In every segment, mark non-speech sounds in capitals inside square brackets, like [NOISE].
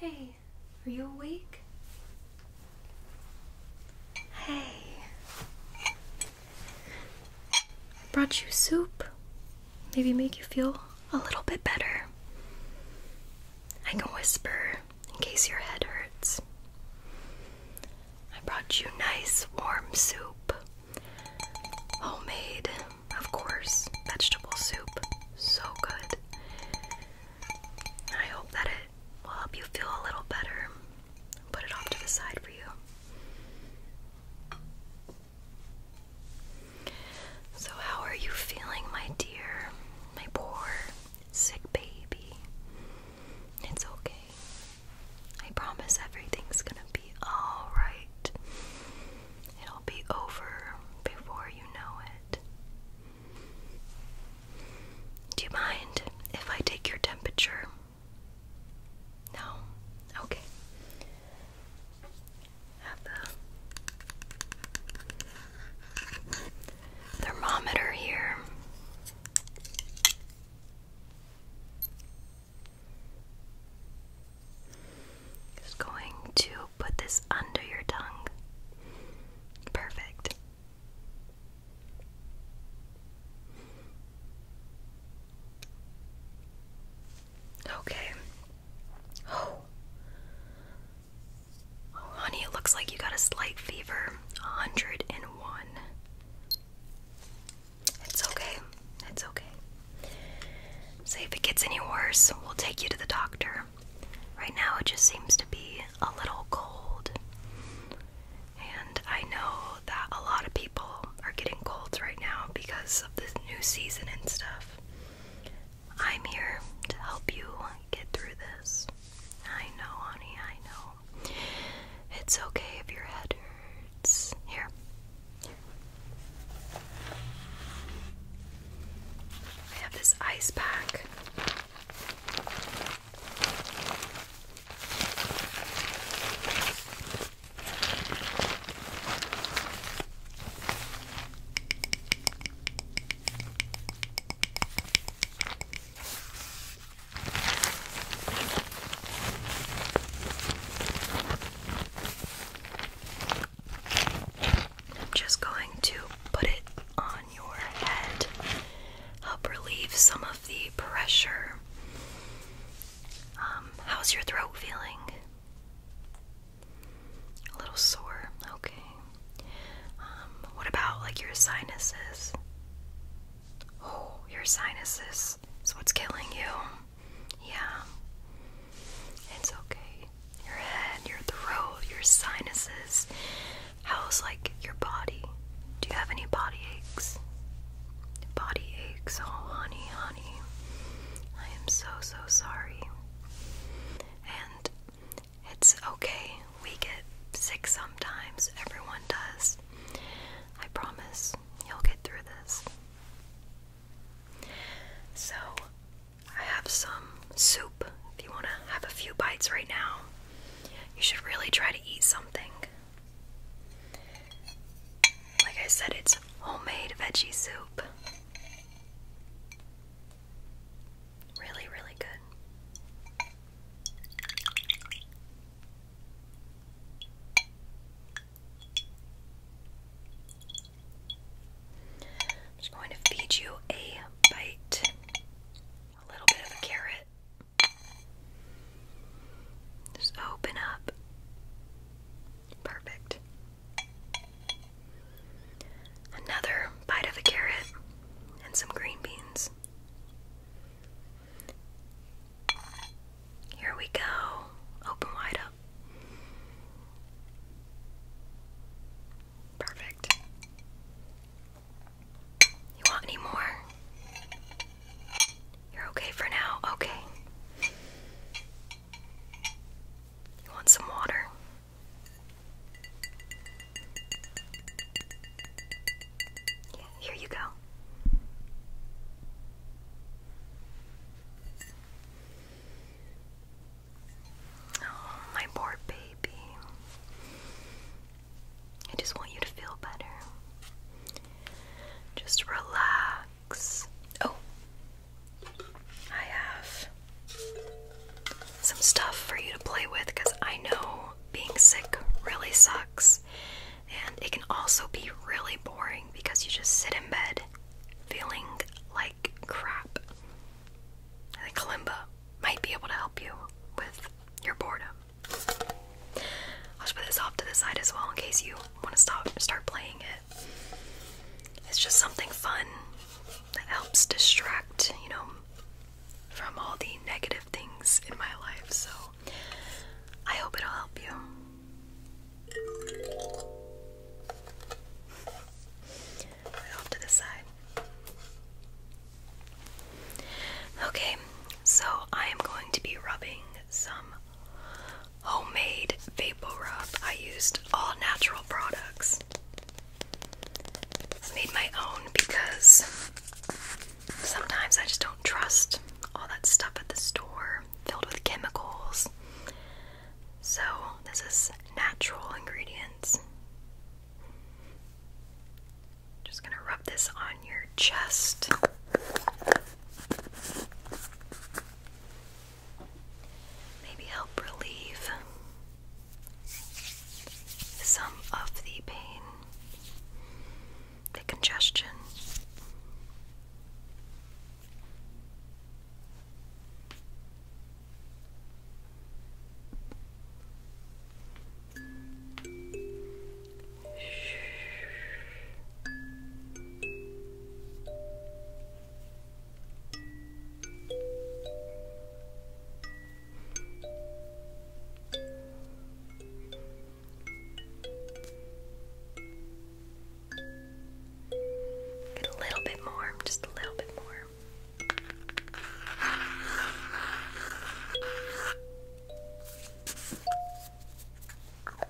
Hey, are you awake? Hey. I brought you soup. Maybe make you feel a little bit better. I can whisper in case your head hurts. I brought you nice warm soup. Homemade, of course, vegetable soup. So good. I hope that it will help you feel a little better. Put it off to the side for you. So, how are you feeling, my dear, my poor, sick baby? It's okay. I promise everything's gonna be alright. It'll be over before you know it. Do you mind if I take your temperature? No? Okay have the thermometer here. Just going to put this under your tongue. Perfect. Okay, Oh, honey, it looks like you got a slight fever. 101. It's okay. It's okay. Say if it gets any worse, we'll take you to the doctor. Right now, it just seems to be a little cold. And I know that a lot of people are getting colds right now because of this new season and stuff. I'm here to help you get through this. I know, honey, I know. It's okay if your head hurts. Here. I have this ice pack. I'm just going to put it on your head, help relieve some of the pressure. Um, how's your throat feeling? A little sore. Okay. Um, what about like your sinuses? Oh, your sinuses is what's killing you. Yeah. It's okay. Your head, your throat, your sinuses. How's like your body? Do you have any body aches? Body aches. Oh, honey, honey. I am so, so sorry. And it's okay. We get sick sometimes. Everyone does. I promise you'll get through this. So, I have some soup. If you want to have a few bites right now, you should really try to eat something. Like I said, it's homemade veggie soup. Really, really good. I'm just going to feed you a bite, a little bit of a carrot. Just open up. Perfect. Another bite of a carrot and some green beans. Here we go. Open wide up. Perfect. You want any more? You're okay for now. Okay. You want some water? Yeah, here you go. Oh, my poor baby. I just want you to feel better. Just relax. Oh, I have some stuff for you to play with because I know being sick really sucks. And it can also be really boring because you just sit in bed feeling like crap. I think Kalimba might be able to help you with your boredom. I'll just put this off to the side as well in case you want to stop start playing it. It's just something fun that helps distract, you know, from all the negative things in my life. So I hope it'll help you. off to the side. Okay, so I am going to be rubbing some homemade vapor rub. I used all natural products. made my own because sometimes I just don't trust all that stuff at the store filled with chemicals. So, this is natural ingredients. Just gonna rub this on your chest maybe help relieve some of the pain, the congestion. Get a little bit more, just a little bit more.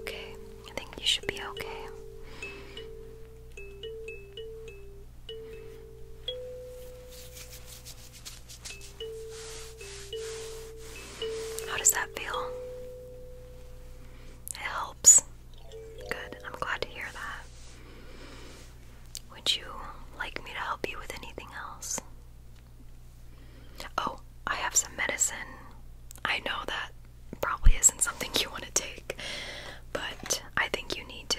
Okay, I think you should be okay. How does that feel? It helps. Good. I'm glad to hear that. Would you like me to help you with anything else? Oh, I have some medicine. I know that probably isn't something you want to take, but I think you need to.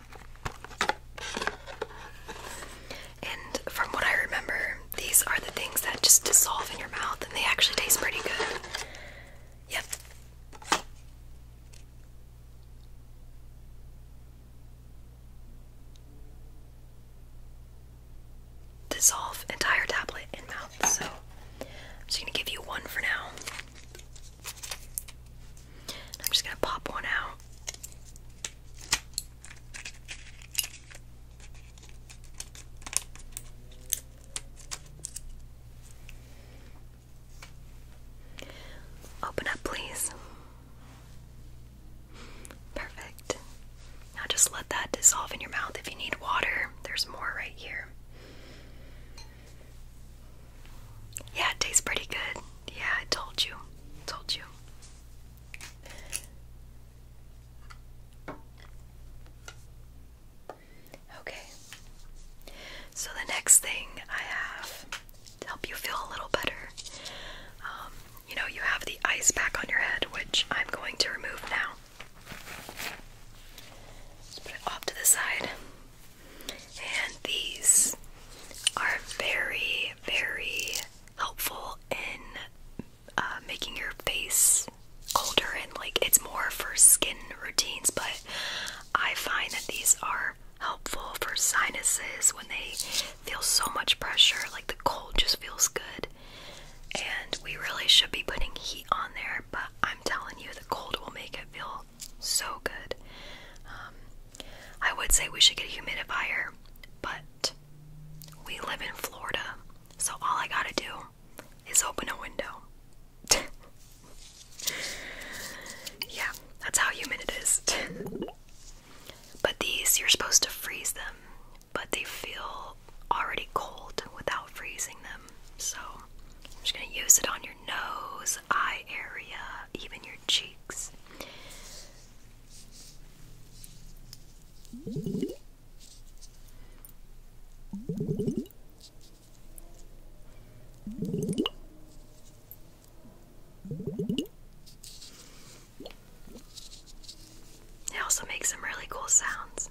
And from what I remember, these are the things that just dissolve in your mouth and they actually taste pretty good. Yep. Dissolve entire tablet in mouth. So I'm just gonna give you one for now. I'm just going to pop one out. Open up, please. Perfect. Now just let that dissolve in your mouth. If you need water, there's more right here. Yeah, it tastes pretty good. Yeah, I told you. Told you. Okay. So the next thing I have to help you feel a little better, um, you know, you have the ice pack on your head, which I'm going to remove now. Just put it off to the side. And these are very, very helpful in uh, making your face colder and like it's more for skin routines, but I find that these are helpful for sinuses when they feel so much pressure, like the cold just feels good. And we really should be putting heat on there, but I'm telling you, the cold will make it feel so good. Um, I would say we should get a humidifier, but we live in Florida, so all I gotta do is open a window. [LAUGHS] yeah, that's how humid it is. [LAUGHS] but these, you're supposed to freeze them, but they feel already cold without freezing them. So I'm just going to use it on your nose, eye area, even your cheeks. It also makes some really cool sounds.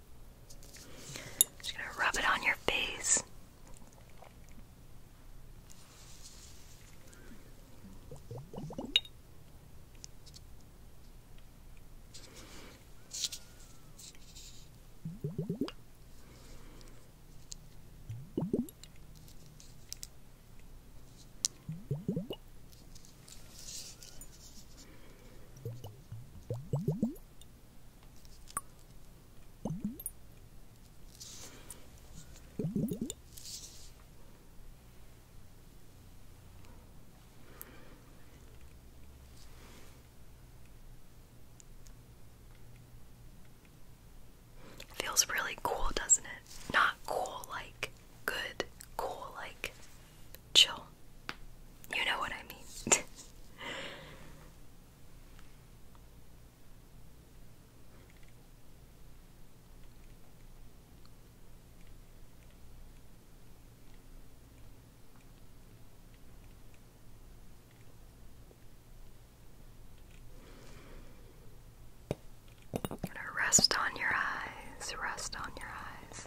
Just gonna rub it on your face. Feels really cool, doesn't it? Not cool like good, cool like chill. You know what I mean. [LAUGHS] rest on your eyes, rest on your eyes.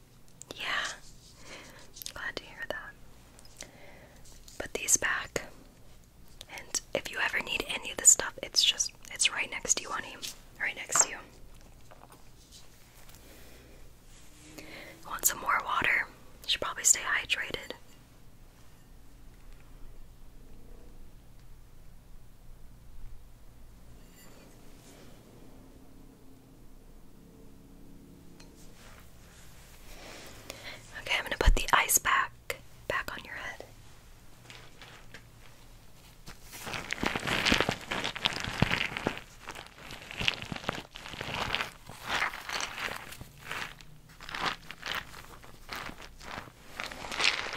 Yeah. Glad to hear that. Put these back. And if you ever need any of this stuff, it's just it's right next to you, honey. Right next to you. Want some more water? Should probably stay hydrated. Okay, I'm going to put the ice back back on your head.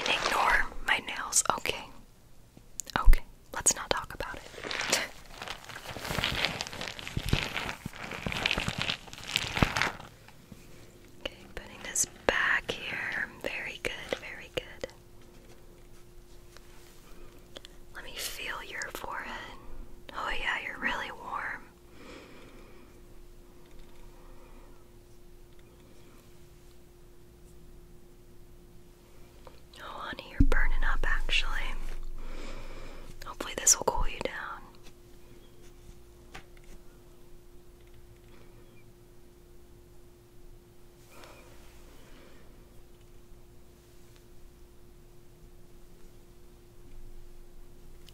ignore my nails. Okay. Okay let's not talk about it. [LAUGHS] okay, putting this back here. Very good, very good. Let me feel your forehead. Oh, yeah, you're really warm. Oh, honey, you're burning up actually. Hopefully, this will cool you down.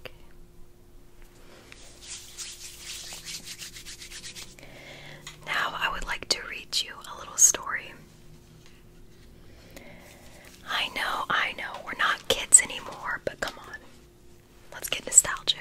Okay. Now, I would like to read you a little story. I know, I know, we're not kids anymore, but come on. Let's get nostalgic.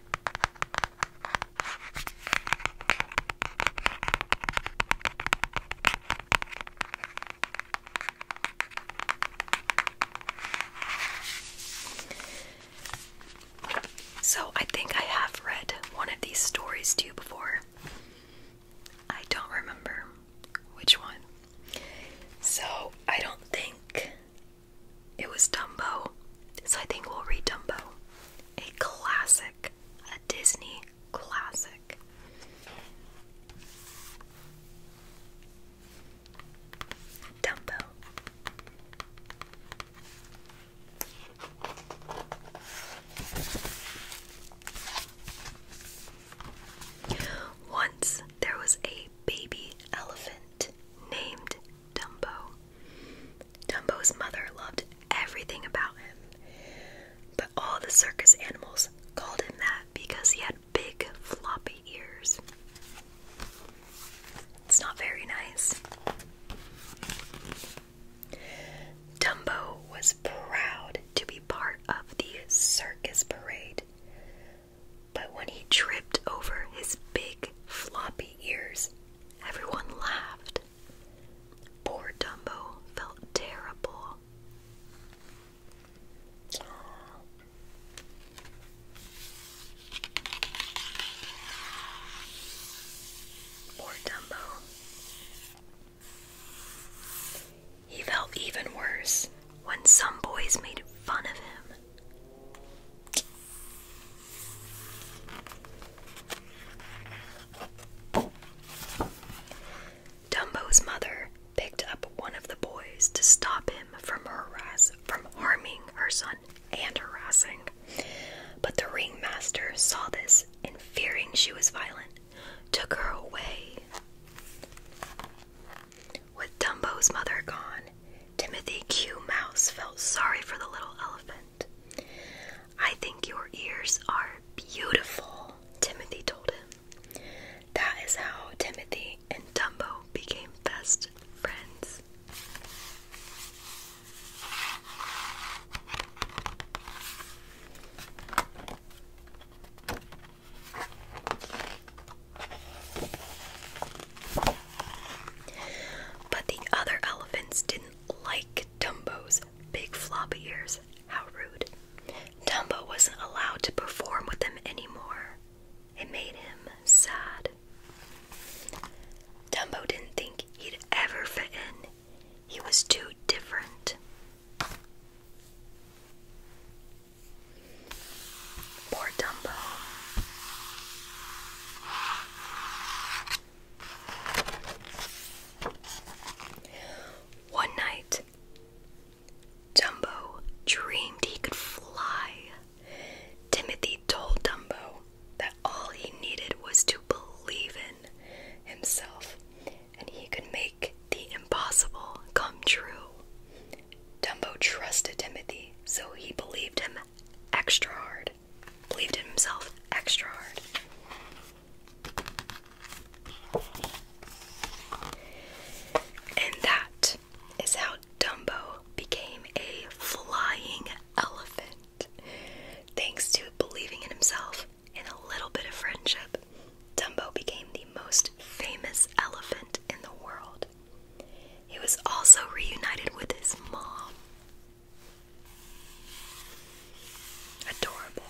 So, I think I have read one of these stories to you before. I don't remember which one. So, I don't think it was Dumbo. So I think we'll read Dumbo. A classic, a Disney classic. Dumbo. Once there was a baby elephant named Dumbo. Dumbo's mother loved everything about him, but all the circus animals called him that because he had big floppy ears. It's not very nice. Dumbo was proud to be part of the circus parade. But when he tripped over his big floppy ears, everyone laughed. Poor Dumbo felt terrible. Poor Dumbo. He felt even worse when some boys made fun of him. Dumbo's mother picked up one of the boys to stop him from harass from harming her son and harassing. But the ringmaster saw this and fearing she was violent, took her away. With Dumbo's mother gone, Timothy Q. Mouse felt sorry for the little elephant. I think your ears are beautiful, Timothy told him. That is how Timothy and Dumbo became best friends. But the other elephants didn't like Dumbo's big floppy ears. How rude. Dumbo wasn't allowed to perform with them anymore. It made him sad. Dumbo didn't think he'd ever fit in. He was too different. Poor Dumbo. One night, Dumbo dreamed he could fly. Timothy told Dumbo that all he needed was to believe in himself and he could make the impossible come true. Dumbo trusted Timothy, so he believed him extra hard. Believed in himself extra hard. And that is how Dumbo became a flying elephant. Thanks to believing in himself and a little bit of friendship, Dumbo became the most famous elephant in the world. He was also reunited with his mom. Adorable.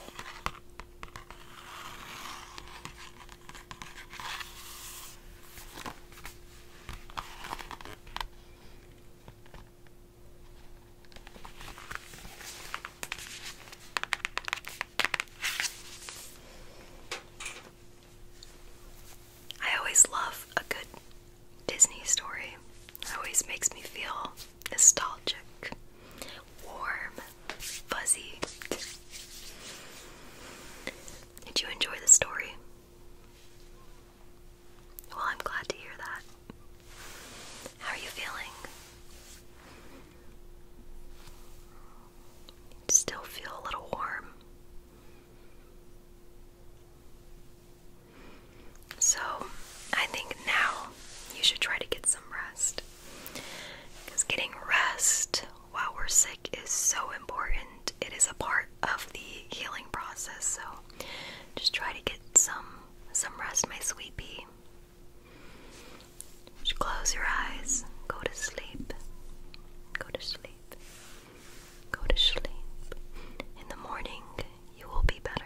I always love a good Disney story. It always makes me feel nostalgic, warm, fuzzy. Did you enjoy the story? Well, I'm glad to hear that. How are you feeling? still feel a little warm. So, I think now you should try to get some rest. Because getting rest while we're sick is so important. It is a part of the healing process. So, just try to get some some rest, my sweetie. Just close your eyes. Go to sleep. Go to sleep. Go to sleep. In the morning, you will be better.